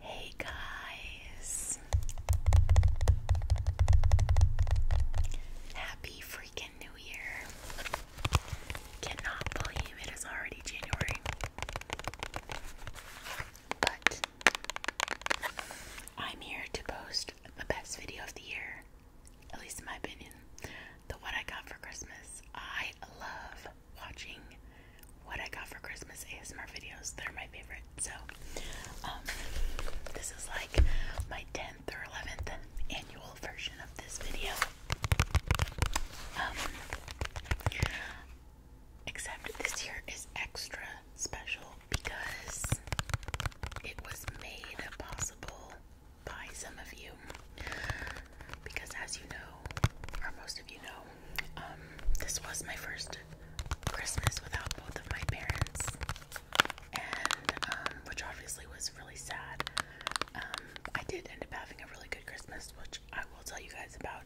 Hey guys. Happy freaking New Year. Cannot believe it is already January. But I'm here to post the best video of the year, at least in my opinion. The what I got for Christmas. I love watching what I got for Christmas ASMR videos. They're my favorite. So, um, this is like my 10th or 11th annual version of this video. Um, except this year is extra special because it was made possible by some of you because as you know, or most of you know, um, this was my first Christmas without both of my parents, and um, which obviously was really sad. Um, I did end up having a really good Christmas, which I will tell you guys about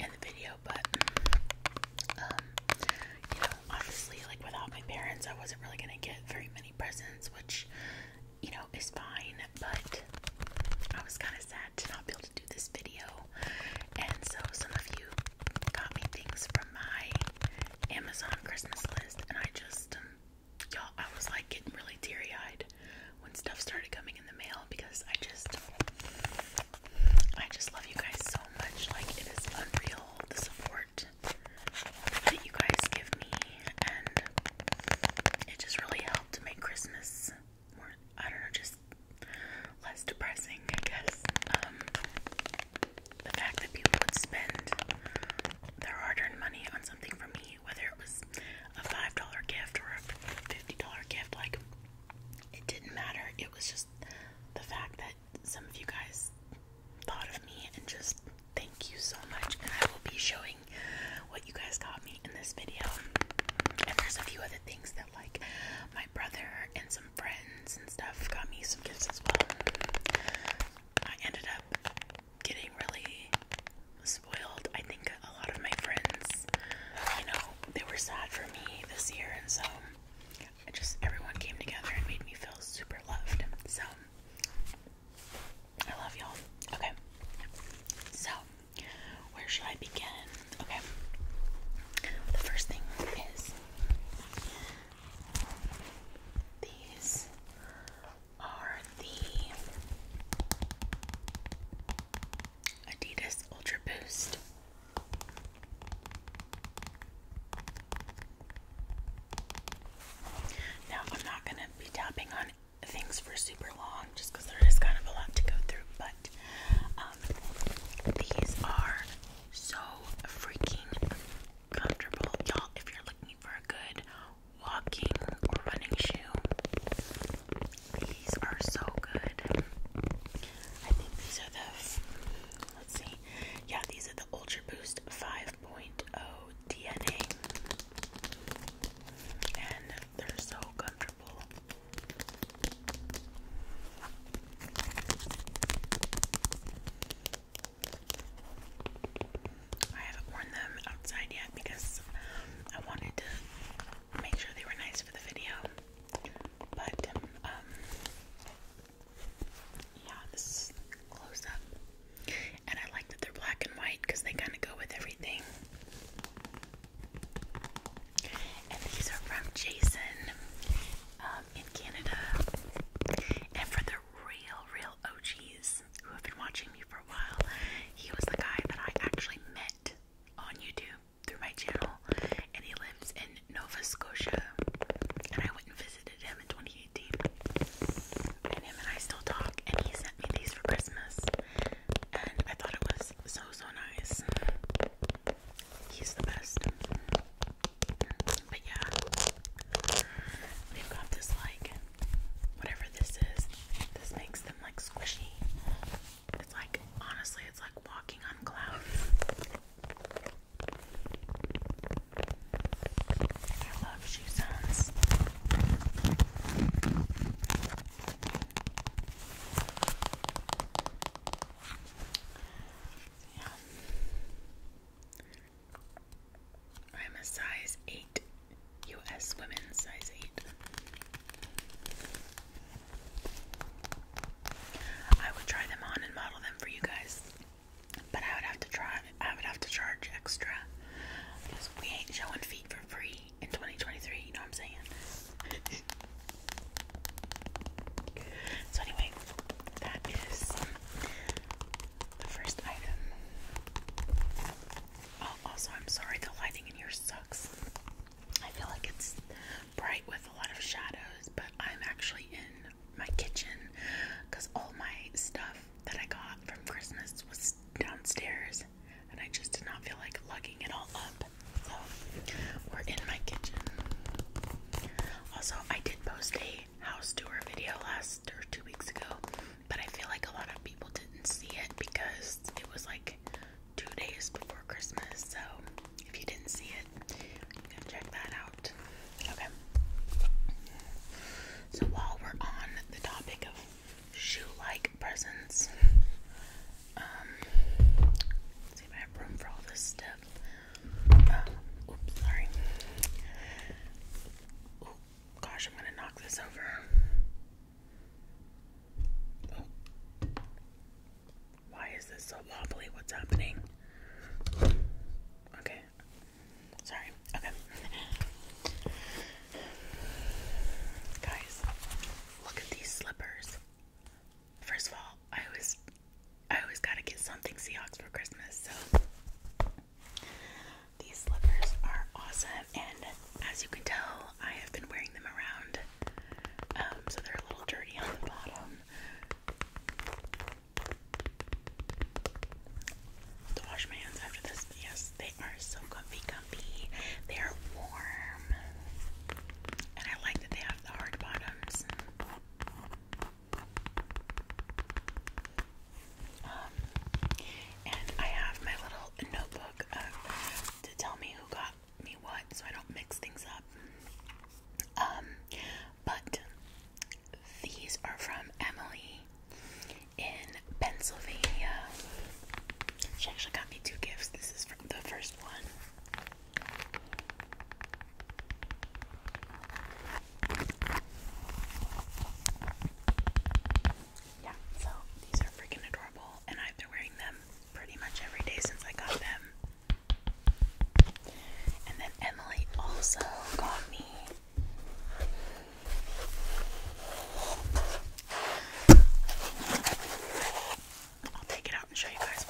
in the video, but you know, obviously, like without my parents, I wasn't really gonna get very many presents, which you know, is fine, but I was kind of sad to not be able to do this video. And so some of you got me things from my Amazon Christmas list, and I just, um, y'all, I was like getting really teary eyed when stuff started coming in the mail because I just, I just love you guys so much. Like, it is unreal the support that you guys give me, and it just really helps to make Christmas more, I don't know, just less depressing, I guess. Um, the fact that people would spend their hard earned money on something for me, whether it was a $5 gift or a $50 gift, like, it didn't matter. It was just the fact that some of you guys thought of me and just thank you so much. And I will be showing what you guys got me in this video. And there's a few other things that like my brother and some friends and stuff got me some gifts as well. I ended up getting really spoiled. I think a lot of my friends, you know, they were sad for me this year and so I just everyone came together and made me feel super loved. So I love y'all. Okay. So, where should I begin? Okay. The first thing is these are the Adidas Ultra Boost. Now, I'm not going to be tapping on things for super long just because there is kind of a lot to go through, but um, these are so freaking comfortable. Y'all, if you're looking for a good walking or running shoe, these are so good. I think these are the, let's see, yeah, these are the Ultra Boost 5.0 DNA. They're so comfortable. I haven't worn them outside yet because I wanted to make sure they were nice for the video. But, um, yeah, this close up and I like that they're black and white because they kind of go with everything. And these are from Jason um, in Canada. And for the real, real OGs who have been watching me for a while, he was the guy that I actually met on YouTube through my channel. And he lives in Nova Scotia. And I went and visited him in 2018 and him and I still talk, and he sent me these for Christmas, and I thought it was so so nice. He's the best. But yeah, we've got this like whatever this is. This makes them like squishy. It's like honestly, it's like walking on clouds. I love shoe sounds. I'm a size 8, US women's size 8. I would try them on and model them for you guys. But I would have to charge extra because we ain't showing feet for free in 2023, you know what I'm saying? so, anyway, that is the first item. Oh, also, I'm sorry, the lighting in here sucks. I feel like it's bright with a lot of shadows, but I'm actually in my kitchen because all my stuff that I got from Christmas was downstairs and I just did not feel like lugging it all up. So we're in my kitchen. Also, I did post a house tour video last or two weeks ago, but I feel like a lot of people didn't see it because it was like two days before Christmas. So if you didn't see it, you can check that out. Okay. So while we're on the topic of shoe-like presents. Um, see if I have room for all this stuff. Uh, oops, sorry. gosh, I'm gonna knock this over. Why is this so wobbly? What's happening? Okay. Sorry. Okay. Guys, look at these slippers. First of all, I always I always gotta get something Seahawks for Christmas, so these slippers are awesome and as you can tell I have been wearing them around. Um, so they're a little dirty on the bottom. To wash my hands after this. Yes, they are so comfy, comfy. They are warm. And I like that they have the hard bottoms. Um, and I have my little notebook uh, to tell me who got me what so I don't mix things up. Um, but these are from Emily, in Pennsylvania. She actually got me two gifts. This is from the first one. Yeah, so these are freaking adorable, and I've been wearing them pretty much every day since I got them. And then Emily also got me I'll take it out and show you guys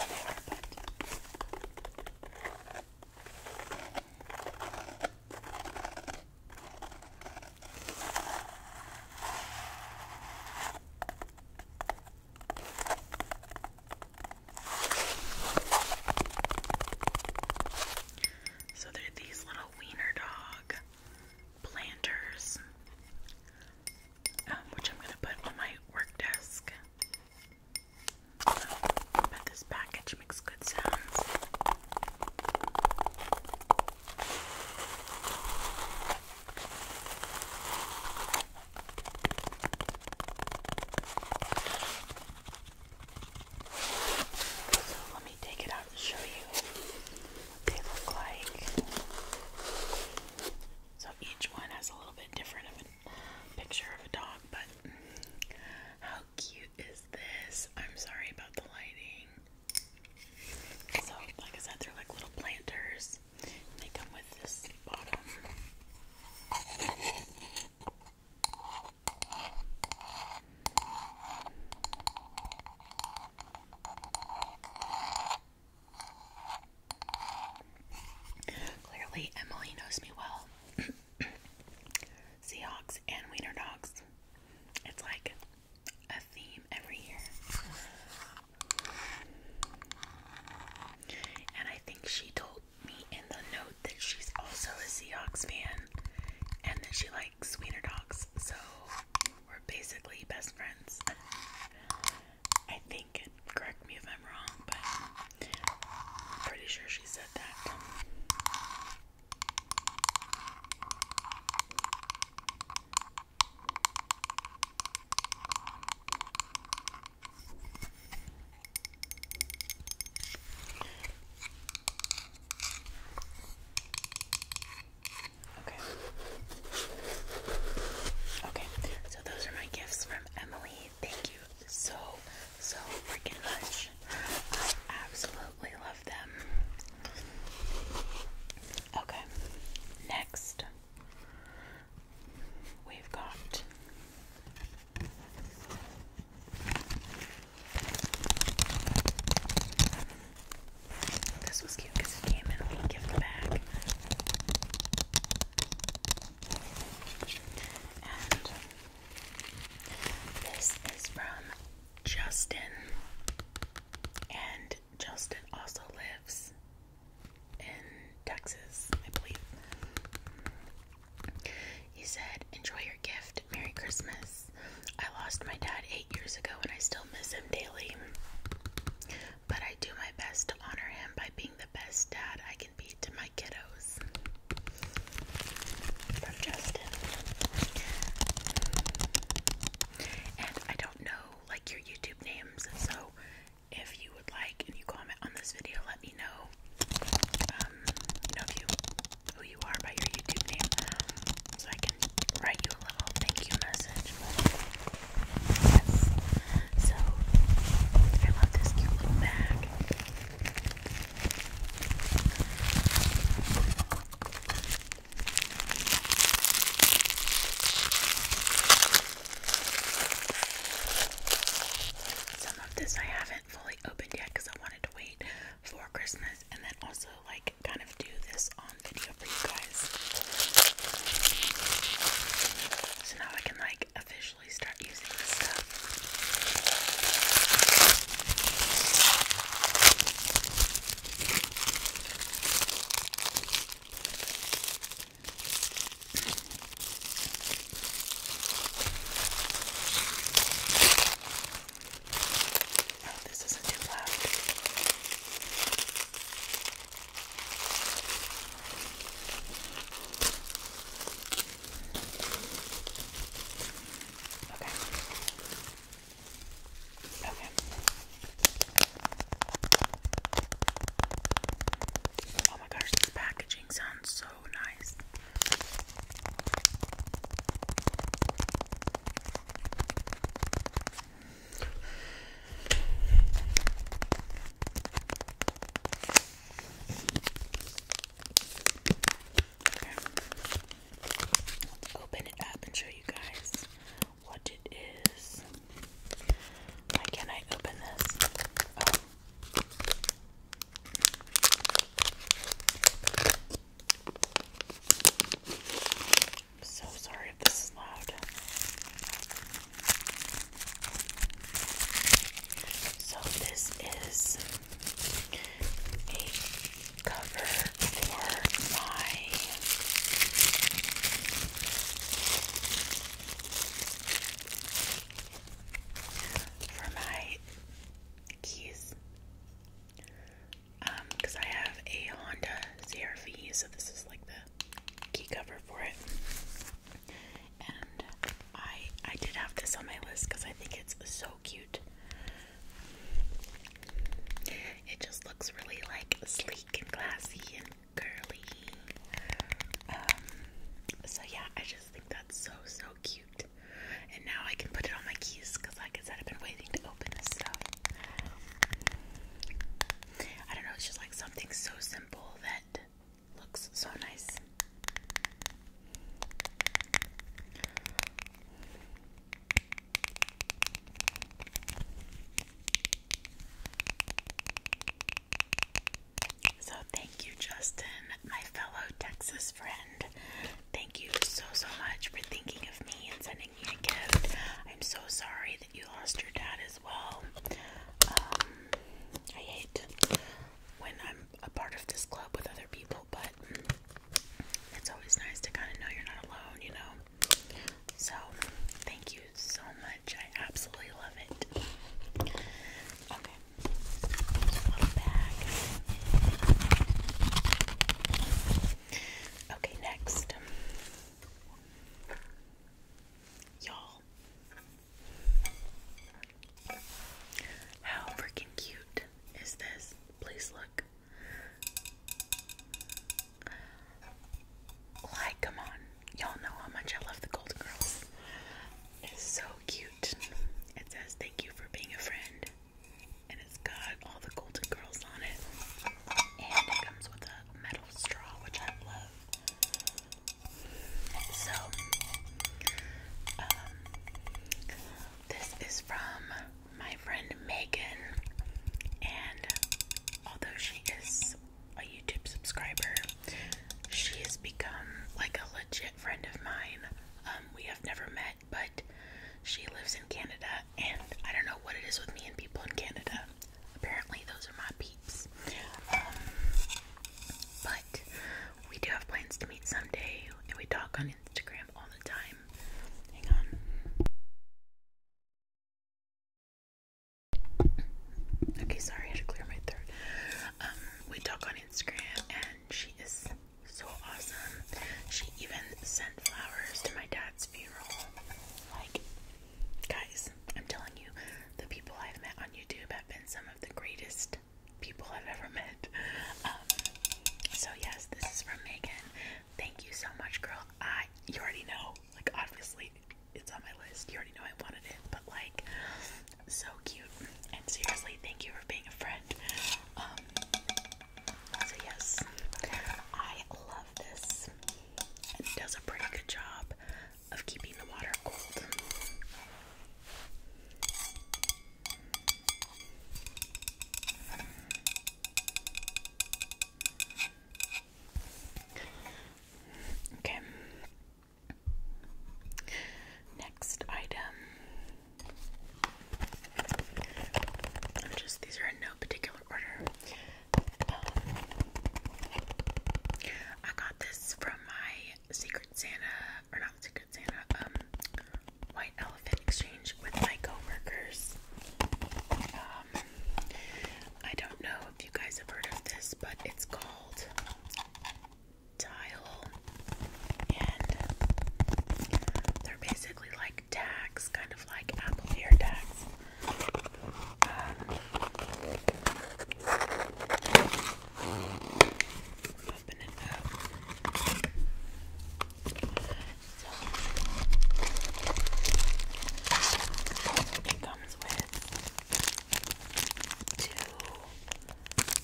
So they're these little wiener dog planters, um, which I'm going to put on my work desk. But this package makes good sounds. So let take it out and show you what they look like. So each one has a little bit different of a picture of a dog, but how cute is this? I'm sorry about the lighting. So, like I said, they're like little planters. they come with this bottom. Clearly, Emily knows me well. Seahawks and wiener dogs. It's like a theme every year. And I think she told me in the note that she's also a Seahawks fan and that she likes sweeter dogs, so we're basically best friends. I think, correct me if I'm wrong, but I'm pretty sure she said that. Okay. Okay, so those are my gifts from Emily. Thank you so, so freaking much. I absolutely love them. Okay, next we've got. This was cute because it came in a little gift bag. And this is from Justin. And Justin also lives in Texas, I believe. He said, Enjoy your gift. Merry Christmas. I lost my dad eight years ago and I still miss him daily. But I do my best to honor him by being the best dad I can be to my kiddos. From Justin. And I don't know like your YouTube names, so if you would like and you comment on this video, let me know. Um, know who you are by your YouTube name, so I can write you a little thank you message, yes. So I love this cute little bag. Some of this I haven't fully opened yet because I wanted to wait for Christmas and then also like like kind of do this on video for you guys. So now I can like officially start using this stuff. Oh, this isn't too loud. Okay. Okay. Oh my gosh, this packaging sounds so nice. Okay. Let's open it up and show you guys what it is. Why can't I open this? Oh. I'm so sorry if this is loud. So this is a cover for my for my keys because um, I have a Honda CRV, so this is like the key cover for it. And I I did have this on my list because I think it's so cute. It just looks really like sleek and classy and curly. Um, so yeah, I just think that's so so cute. And now I can put it on my keys because I I don't know, it's just like something so simple that looks so nice. So, thank you, Justin, my fellow Texas friend. Thank you so, so much for thinking of me and sending I'm so sorry that you lost your dad as well. Um, I hate when I'm a part of this club with other people, but it's always nice to kind of know you're not alone, you know? So, thank you so much. I absolutely love it. Okay. little bag. Okay, next. Y'all. How freaking cute is this? Please look. Like, come on. Y'all know how much I love the Golden Girls. It's so cute. It says, Thank you for being a friend and it's got all the Golden Girls on it. And it comes with a metal straw, which I love. So, um, this is from my friend Megan, and although she is a YouTube subscriber, she has become like a legit friend of mine. Um, we have never met, but she lives in Canada and I don't know what it is with me and people in Canada. Apparently, those are my peeps. Um, but we do have plans to meet someday, and we talk on Instagram all the time. Hang on. Okay, sorry, I had to clear my throat. Um, we talk on Instagram, and she is so awesome. She even sent flowers to my dad's funeral. Like, guys, I'm telling you, the people I've met on YouTube have been some of the greatest people I've ever met. Um, so yes, this is from Megan. Thank you so much, girl. I you already know, like obviously it's on my list. You already know I wanted it, but like so cute. And seriously, thank you for being a friend. Um, yes, I love this. It does a pretty good job of keeping the water cold. Okay. Next item. Just these are in no particular order. I got this from my Secret Santa, or not Secret Santa, um, White Elephant Exchange with my coworkers. Um, I don't know if you guys have heard of this, but it's called Tile, and they're basically like like tags, kind of like Apple ear Um, it comes with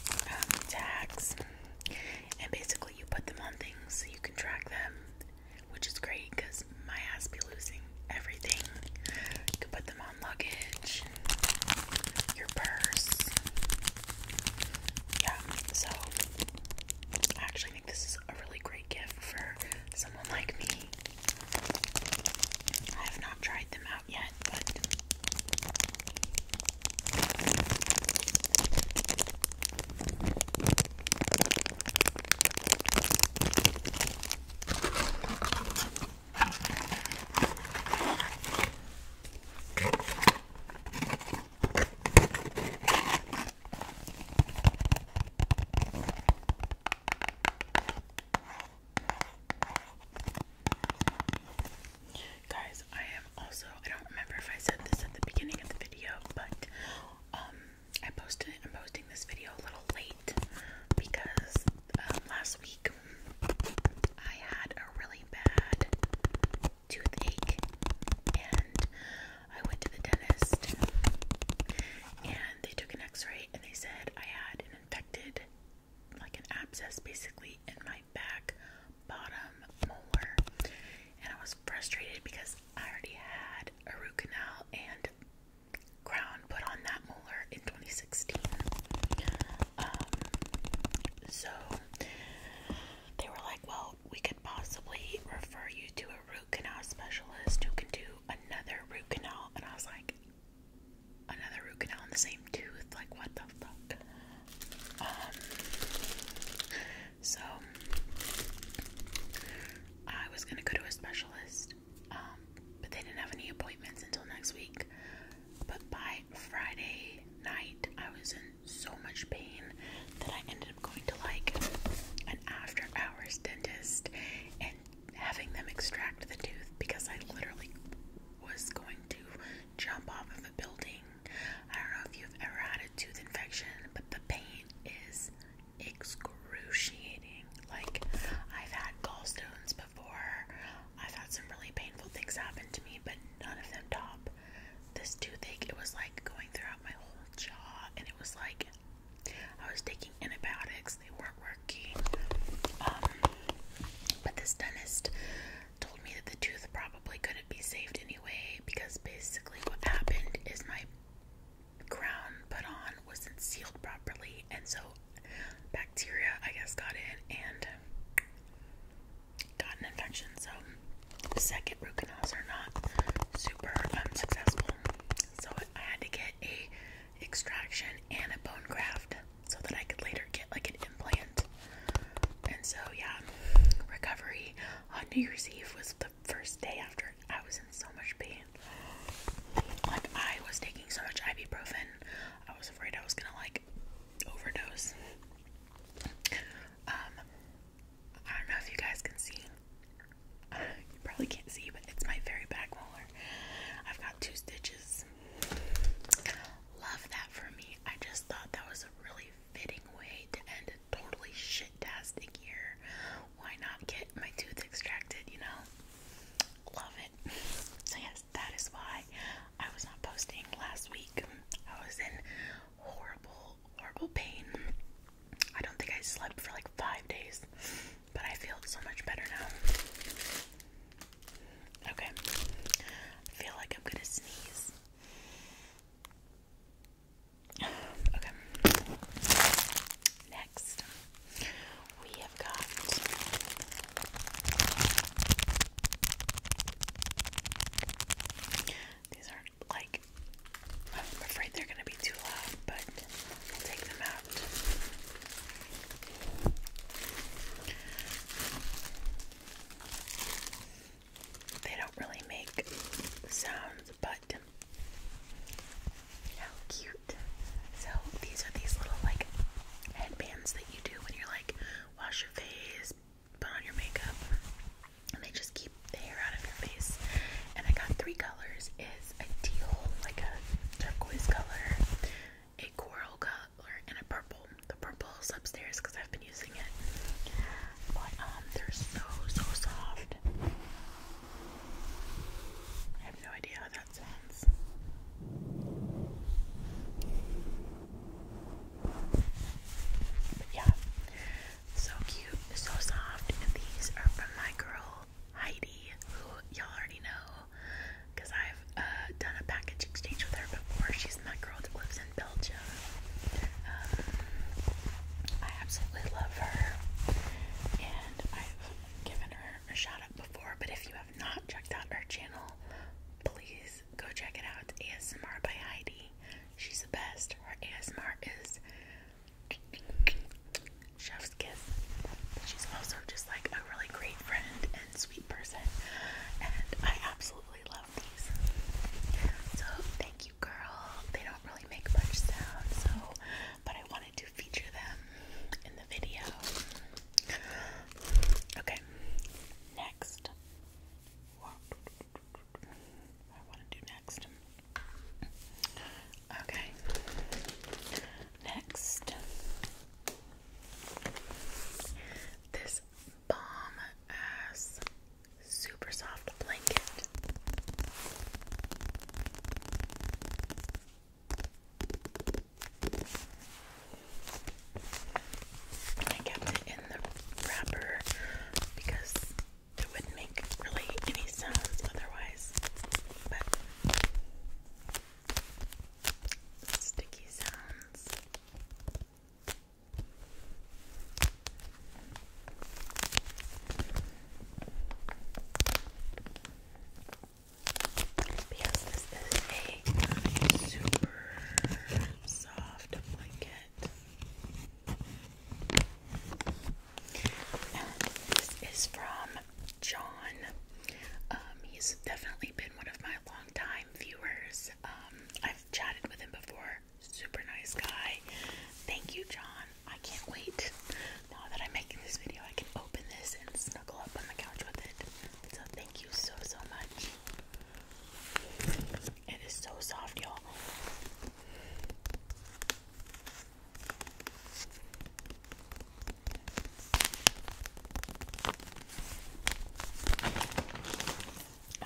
two um, tags, and basically you put them on things so you can track them which is great because my ass be losing everything. You can put them on luggage, your purse. Yeah, so I actually think this is a really great gift for someone like me. I have not tried them out yet, but Guys, I am also I don't remember if I said this at the beginning of the video, but um, I posted I'm posting this video a little late because um, last week I had a really bad toothache and I went to the dentist and they took an x-ray and they said I had an infected like an abscess basically in my back bottom molar and I was frustrated because I already had a root canal and crown put on that molar in 2016. Um, so they were like, well, we could possibly refer you to a root canal specialist who can do another root canal. And I was like, another root canal in the same tooth? Like, what the fuck? Um, so I was gonna go to a specialist, um, but they didn't have any appointments until next week. But by Friday night, I was in so much pain that I ended up going to like an after hours dentist and having them extract the tooth because I literally was going to jump off of a building. I don't know if you've ever had a tooth infection, but the pain is excruciating. Like, I've had gallstones before, I've had some really painful things happen to me, but none of them top this toothache. It was like going throughout my whole jaw, and it was like I was taking antibiotics, they weren't working. Um, but this dentist told me that the tooth probably couldn't be saved anyway because basically what happened is my crown put on wasn't sealed properly, and so bacteria, I guess, got in and got an infection. So, second root canals are not super um, successful. So, I had to get a extraction and a bone graft so that I could later get like an implant. And so, yeah, recovery on New Year's Eve was the first day after I was in so much pain. Like I was taking so much ibuprofen. I was afraid I was gonna like overdose. Um I don't know if you guys can see. Uh, you probably can't see, but it's my very back molar. I've got two stitches. Love that for me. I just thought that was a really fitting way to end totally shit-tastic year. Why not get my tooth extracted, you know? Love it. So yes, that is why I was not posting last week. I was in horrible, horrible pain. I don't think I slept for like five days, but I feel so much better now. Okay, I feel like I'm gonna sneeze. Okay. Next, we have got these are like I'm afraid they're gonna be too loud, but I'll take them out. They don't really make sounds but how cute. So these are these little like headbands that you do when you're like wash your face, put on your makeup, and they just keep the hair out of your face. And I got three colors is a like a turquoise color, a coral color, and a purple. The purple is upstairs because I've been using it. But um they're so so soft. I have no idea how that sounds. But yeah, so cute, so soft. these are from my girl Heidi, who y'all already know because I've uh, done a package exchange with her before. She's my girl that lives in Belgium. Um, I absolutely love her, and I've given her a shout out before. But if you have not checked out her channel, please go check it out. It's ASMR by Heidi. She's the best. Her ASMR is chef's kiss. she's also just like a really great friend and sweet person, and I absolutely love these. So thank you. Thank you, girl. They don't really make much sound, so but I wanted to feature them in the video. Okay, next. What I want to do next. Okay, next. This bomb ass super soft blanket. I kept it in the wrapper because it wouldn't make really any sounds otherwise. But sticky sounds. Because this is a super soft blanket. this is from John. Um, he's definitely been one of my longtime viewers. Um, I've chatted with him before. Super nice guy. Thank you, John. I can't wait. Now that I'm making this video, I can open this and snuggle up on the couch with it. So thank you so, so much. It is so soft, y'all.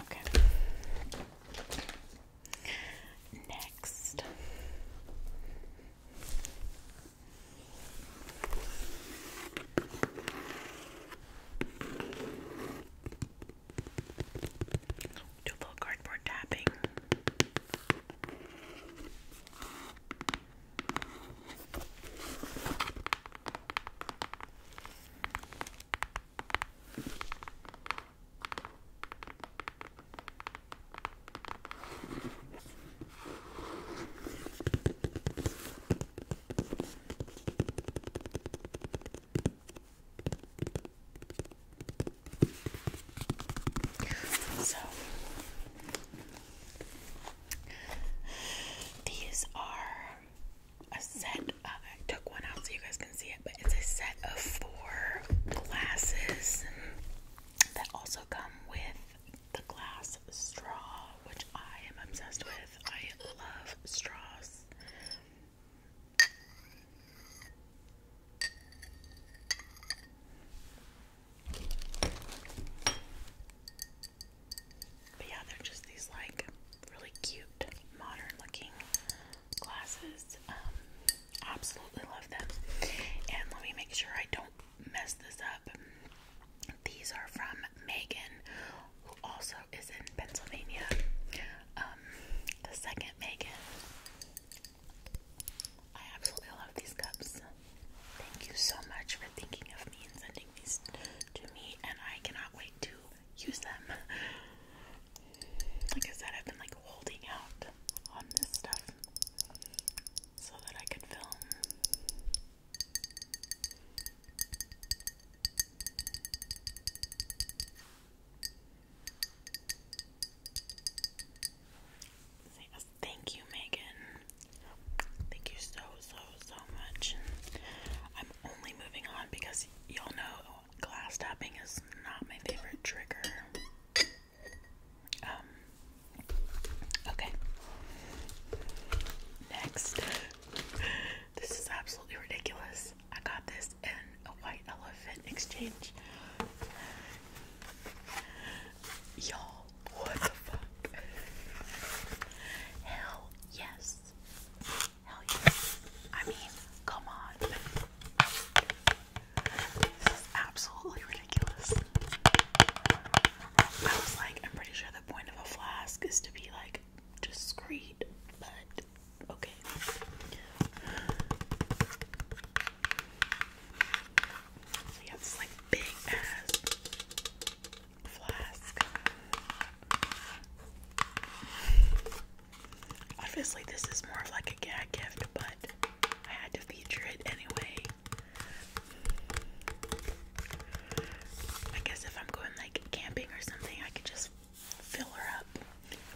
Okay. Next, do a little cardboard tapping. So these are a set. I took one out so you guys can see it but it's a set of four glasses that also come with the glass straw, which I am obsessed with. I love straws. But yeah, they're just these like really cute, modern looking glasses. Um, absolutely love them. And let me make sure I don't mess this up. These are from Megan, who also is in Pennsylvania. Um, the second Megan. I absolutely love these cups. Thank you so much for thinking of me and sending these to me, and I cannot wait to use them. like I said, I've been like holding out on this stuff so that I could film. Thank you, Megan. Thank you so, so, so much. I'm only moving on because y'all know glass tapping is not my favorite trigger. Um, okay. Next. this is absolutely ridiculous. I got this in a white elephant exchange. Y'all, what the fuck? Hell yes. Hell yes. I mean, come on. This is absolutely ridiculous. I was like, I'm pretty sure the point of a flask is to be like discreet, but okay. So like big ass flask. Obviously, this is more of like a gag gift, but I had to feature it anyway. I guess if I'm going like camping or something, I could just fill her up.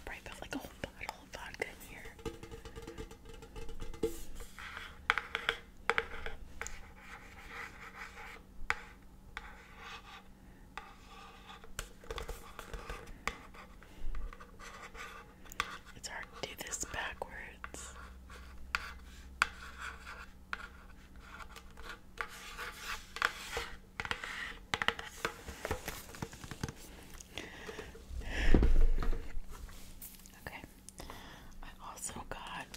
probably felt like a whole bottle of vodka in here. It's hard to do this backwards. Okay, I also got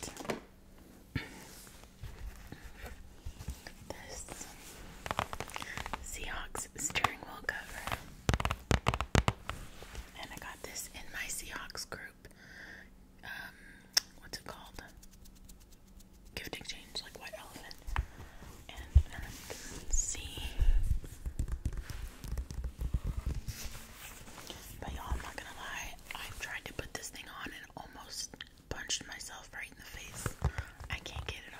this Seahawks steering wheel cover. And I got this in my Seahawks group. Um, what's it called? Gift exchange, like white elephant. And um, let's see. But y'all, I'm not gonna lie. I've tried to put this thing on and almost punched myself right in the face. I can't get it on.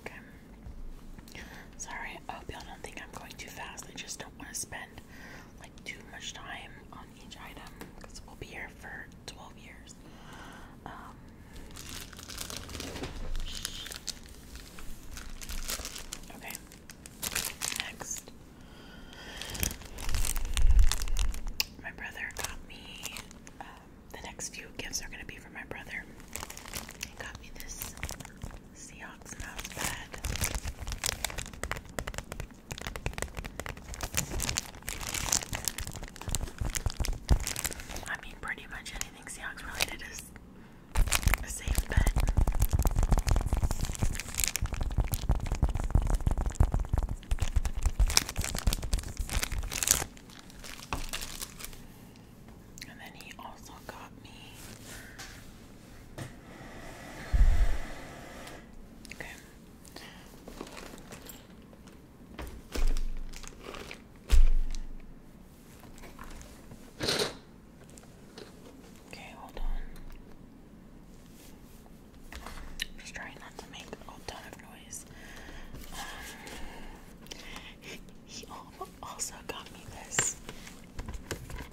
Okay. Sorry, I hope y'all don't think I'm going too fast. I just don't want to spend like too much time on each item because we'll be here for 12 years. Um, okay, next. My brother got me, um, the next few gifts are going to be for my brother. He got me this Seahawks mouse pad. I mean, pretty much anything Seahawks related is a safe bet. And then he also got me. Okay, Okay, hold on. Just trying not to make a ton of noise. Um, he also got me this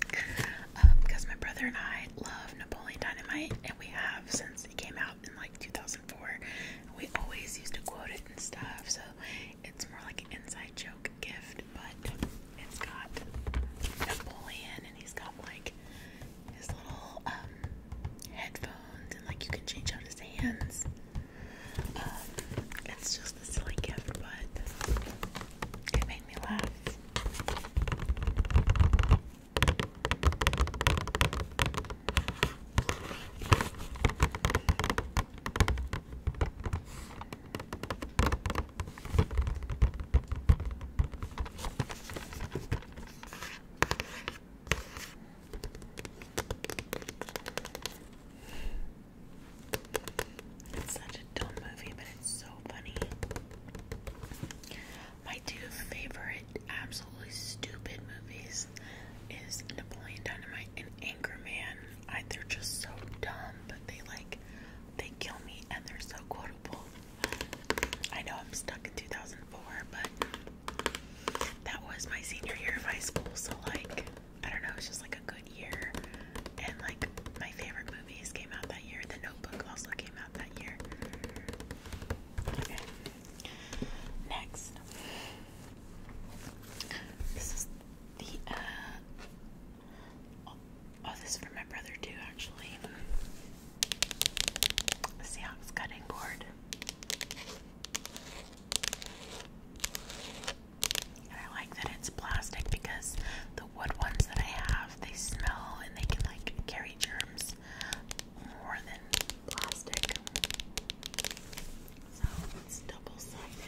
because um, my brother and I love Napoleon Dynamite, and we have since because it came out in like 2004. We always used to quote it and stuff, so it's more like an inside joke gift. But it's got Napoleon, and he's got like his little um, headphones, and like you can change out his hands. Um, it's just a silly gift, but it made me laugh. It's such a dumb movie, but it's so funny. My two favorite, absolutely stupid movies is Napoleon Dynamite and Anchorman. I, they're just so dumb, but they like they kill me, and they're so quotable. I know I'm stuck in 2004, but that was my senior year of high school, so like I don't know, it's just like a good year. And like my favorite movies came out that year. The Notebook also came out that year. Next, this is the uh, Oh, this is for my brother too, actually. The Seahawks cutting board. I like that it's plastic because the wood ones that I have, they smell and they like carry germs more than plastic. So it's double sided.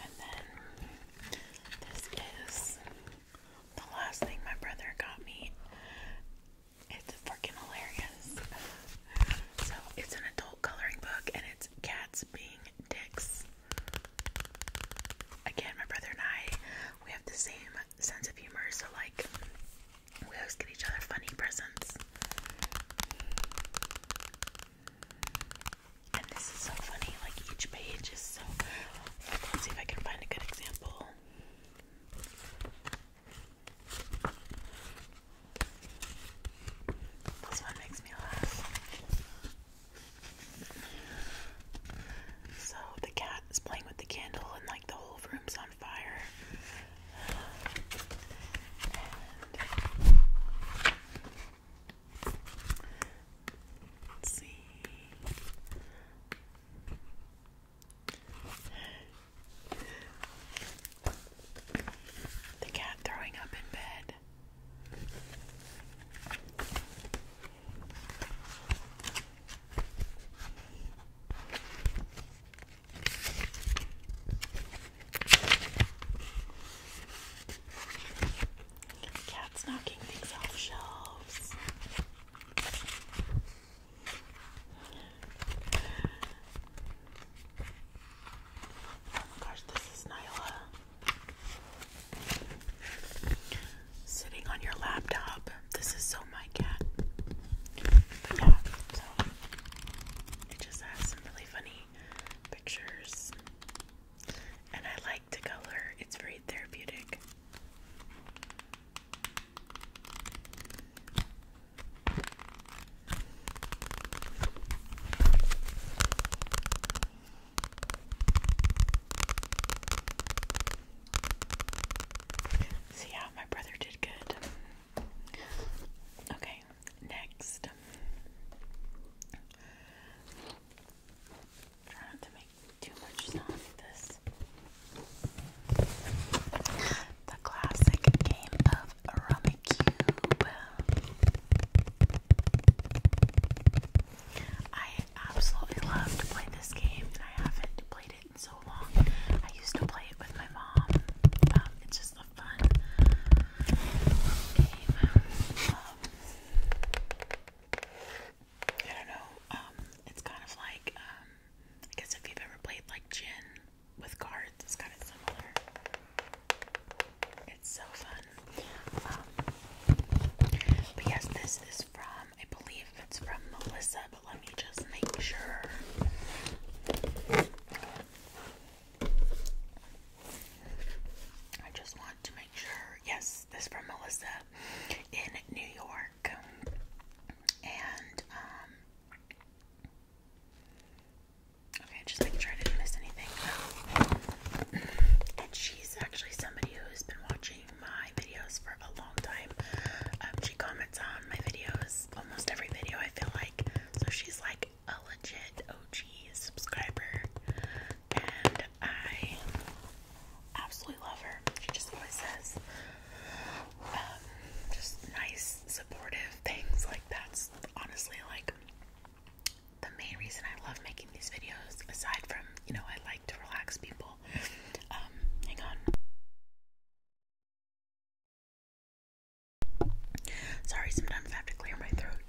And then this is the last thing my brother got me. It's freaking hilarious. So it's an adult coloring book and it's cats being dicks. Again, my brother and I, we have the same sense of humor, so like we always get each other funny presents. And this is so funny, like each page is so. Let's see if I can find a good example. This one makes me laugh. So the cat is playing with the candle, and like the whole room's on fire. Let's see. The cat throwing up in bed. Cat's knocking things off shelves. Oh my gosh, this is Nyla. Sitting on your laptop. This is so my cat. yeah, so it just has some really funny pictures. And I like to color, it's very therapeutic. See how my brother did good. Okay, next. Try to make too much sound this. The classic game of Rummy I absolutely love to play this game, and I haven't played it in so long. I used to play it with my mom. Um, it's just a fun game. Um, I don't know. Um, it's kind of like um, I guess if you've ever played like gin with cards, it's kind of similar. It's so fun. Um, but yes, this is from I believe it's from Melissa, but let me just make sure. I just want to make sure yes, this from Melissa in New York, and um, okay, just making sure I didn't miss anything. and she's actually somebody who's been watching my videos for a long time. Um, she comments on my videos almost every video. I feel like so she's like a legit OG subscriber and I absolutely love her. She just always says um, just nice, supportive things. Like, that's honestly like the main reason I love making these videos, aside from, you know, I like to relax people. Um, hang on. Sorry, sometimes I have to clear my throat.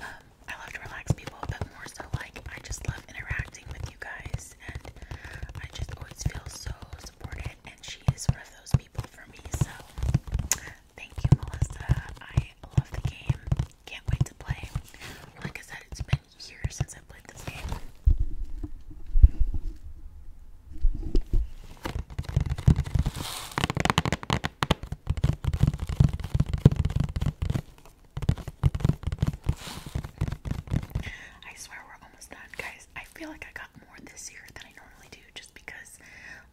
Um, I love to relax people, but more so like I just love interacting with you guys, and I just always feel so supported. And she is one of those people for me. So thank you, Melissa. I love the game. Can't wait to play. Like I said, it's been years since I played this game. I swear we're almost done, guys. I feel like I got more this year than I normally do just because,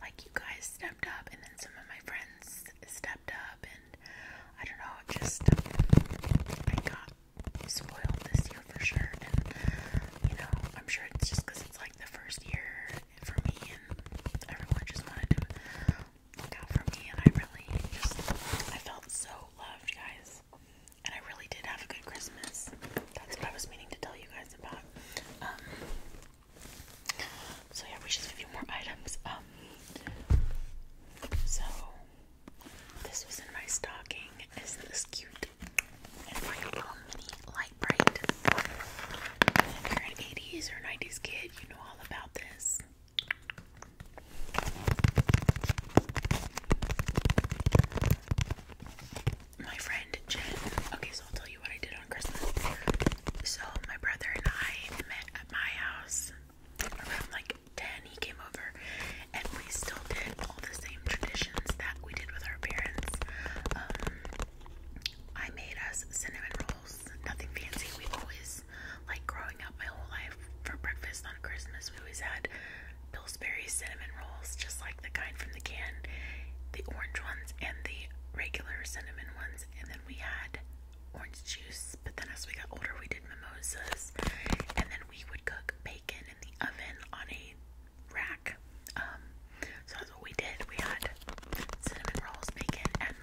like, you guys stepped up, and then some of my friends stepped up, and I don't know, just I got spoiled this year for sure. And you know, I'm sure it's just it's like the first year for me, and everyone just wanted to look out for me, and I really just I felt so loved, guys. And I really did have a good Christmas. That's what I was meaning to tell you guys about. Um, so yeah, we just a few more items. Um, so this was in my stocking. Isn't this cute? And my little light bright. if you're an 80s or 90s kid, you know all about this. My friend Jen. Okay, so I'll tell you what I did on Christmas. So my brother and I met at my house around like 10. He came over and we still did all the same traditions that we did with our parents. Um, I made us cinnamon rolls else. Nothing fancy. We always, like growing up my whole life, for breakfast on Christmas, we always had Pillsbury cinnamon rolls, just like the kind from the can, the orange ones and the regular cinnamon ones. And then we had orange juice. But then as we got older, we did mimosas. And then we would cook bacon in the oven on a rack. Um, so that's what we did. We had cinnamon rolls, bacon, and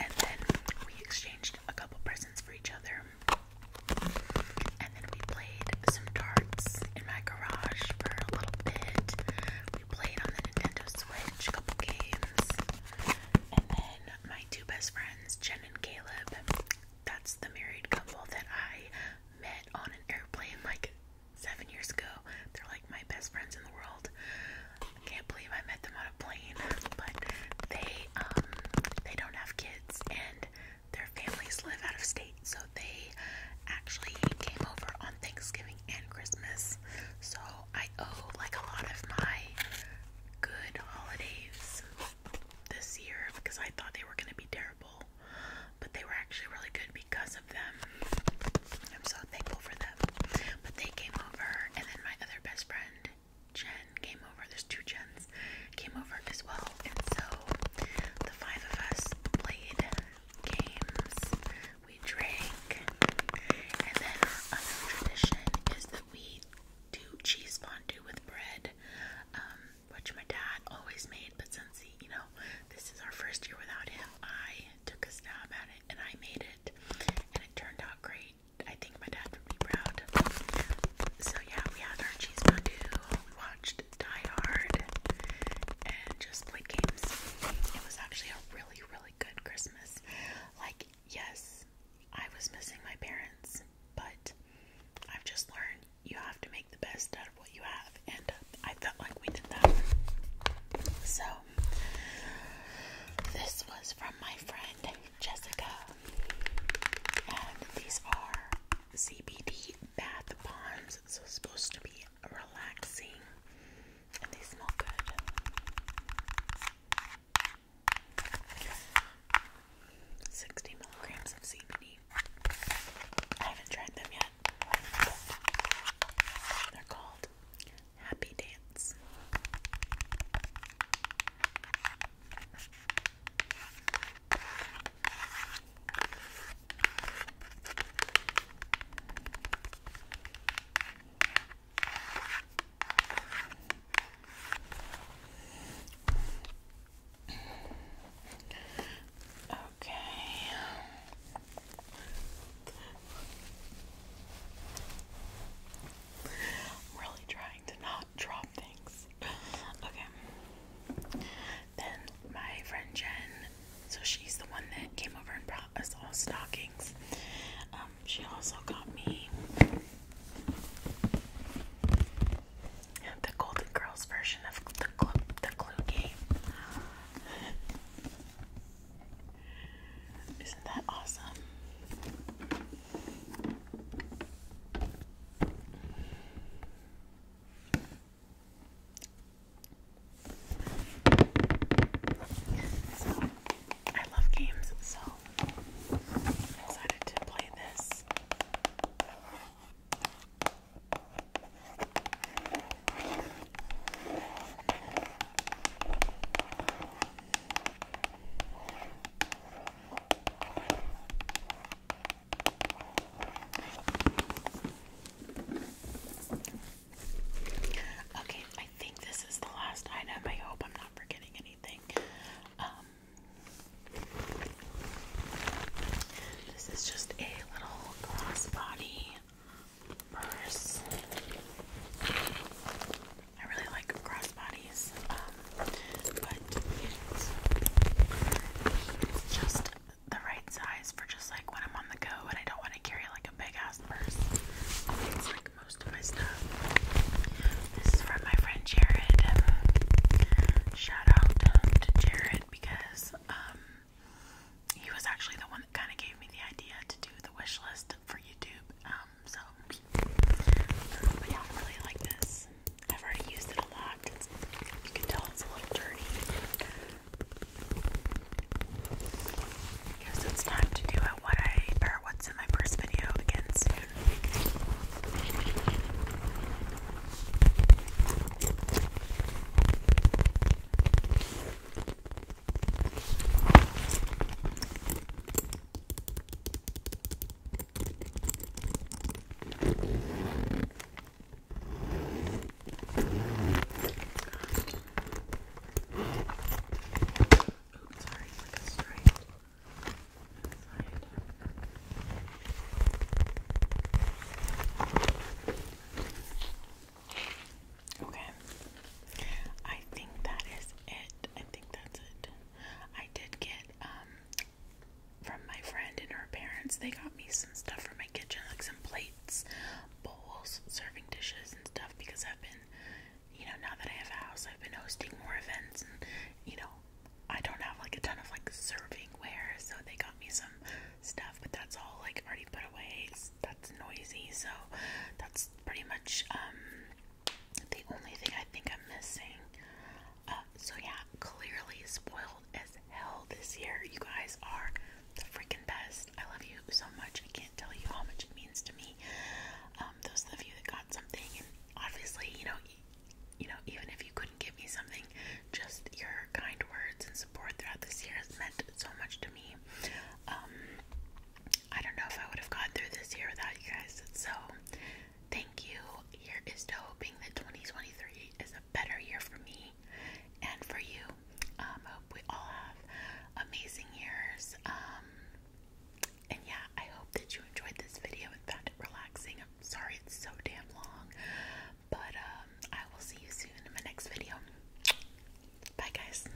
and then we exchanged a couple presents for each other. And then we played some darts in my garage for a little bit. We played on the Nintendo Switch a couple games. And then my two best friends, Jen and Caleb, that's the married couple that I met on an airplane like seven years ago. They're like my best friends in the world. I can't believe I met them on a plane, but they um they don't have kids and their families live out of state, so they actually came over on Thanksgiving and Christmas. So I owe like a lot of my good holidays this year because I thought they were gonna be terrible, but they were actually really good because of them. I'm so thankful for them. But they came over, and then my other best friend, Jen, came over. There's two Jens, came over as well. And so the five of us played games, we drank, and then our other tradition is that we do cheese fondue with bread, um, which my dad always made, but since he, you know, this is our first year without him, I took a stab at it and I made it and it turned out great. I think my dad would be proud. So yeah, we had our cheese fondue, watched Die Hard and just played games. It was actually a really, really good Christmas. Like, yes, I was missing my parents, but I've just learned you have to make the best out of what you have and I felt like we did that. So this was from my friend Jessica, and these are CBD bath bombs, so supposed to be relaxing, and they smell good. Sixty milligrams of CBD. I haven't tried them yet. They're called Happy Dance. Okay. I'm really trying to not drop things. Okay. Then my friend Jen, so she's the one that came over and brought us all stockings. Um, she also got me the Golden Girls version of the the Clue game. Isn't that awesome? So, I love games, so I to play this. Okay, I think this is the last item. I hope I'm not forgetting anything. Um, this is just a little glass body purse. I really like crossbodies, um, but it's, just the right size for just like when I'm on the go and I don't want to carry like a big ass purse. It's like most of my stuff. This is from my friend Jared. Um, shout out to Jared because um, he was actually the one kind of gave me the idea to do the wish list for YouTube. Um, so, yeah, I really like this. I've already used it a lot. you can tell it's a little dirty. Guess it's time to do what I or what's in my first video again soon. Oops, sorry, like a stripe. Inside. Okay. I think that is it. I think that's it. I did get um from my friend and her parents, they got me some stuff for my kitchen, like some plates, bowls, serving dishes and stuff because I've been you know, now that I have a house I've been hosting more events and you know, I don't have like a ton of like serving ware, so they got me some stuff, but that's all like already put away. So that's noisy. So that's pretty much um, the only thing I think I'm missing. Uh, so yeah, clearly spoiled as hell this year. You guys are the freaking best. I love you so much. I can't tell you how much it means to me. Um, those of you that got something, and obviously, you know, you know, even if you couldn't give me something, just your kind words and support throughout this year has meant so much to me. Um, I don't know if I would have gotten through this year without you guys. So, thank you. Here is to hoping that 2023 is a better year for me and for you. Um, hope we all have amazing years. Um, and yeah, I hope that you enjoyed this video and found it relaxing. I'm sorry it's so damn long, but um, I will see you soon in my next video. Bye, guys.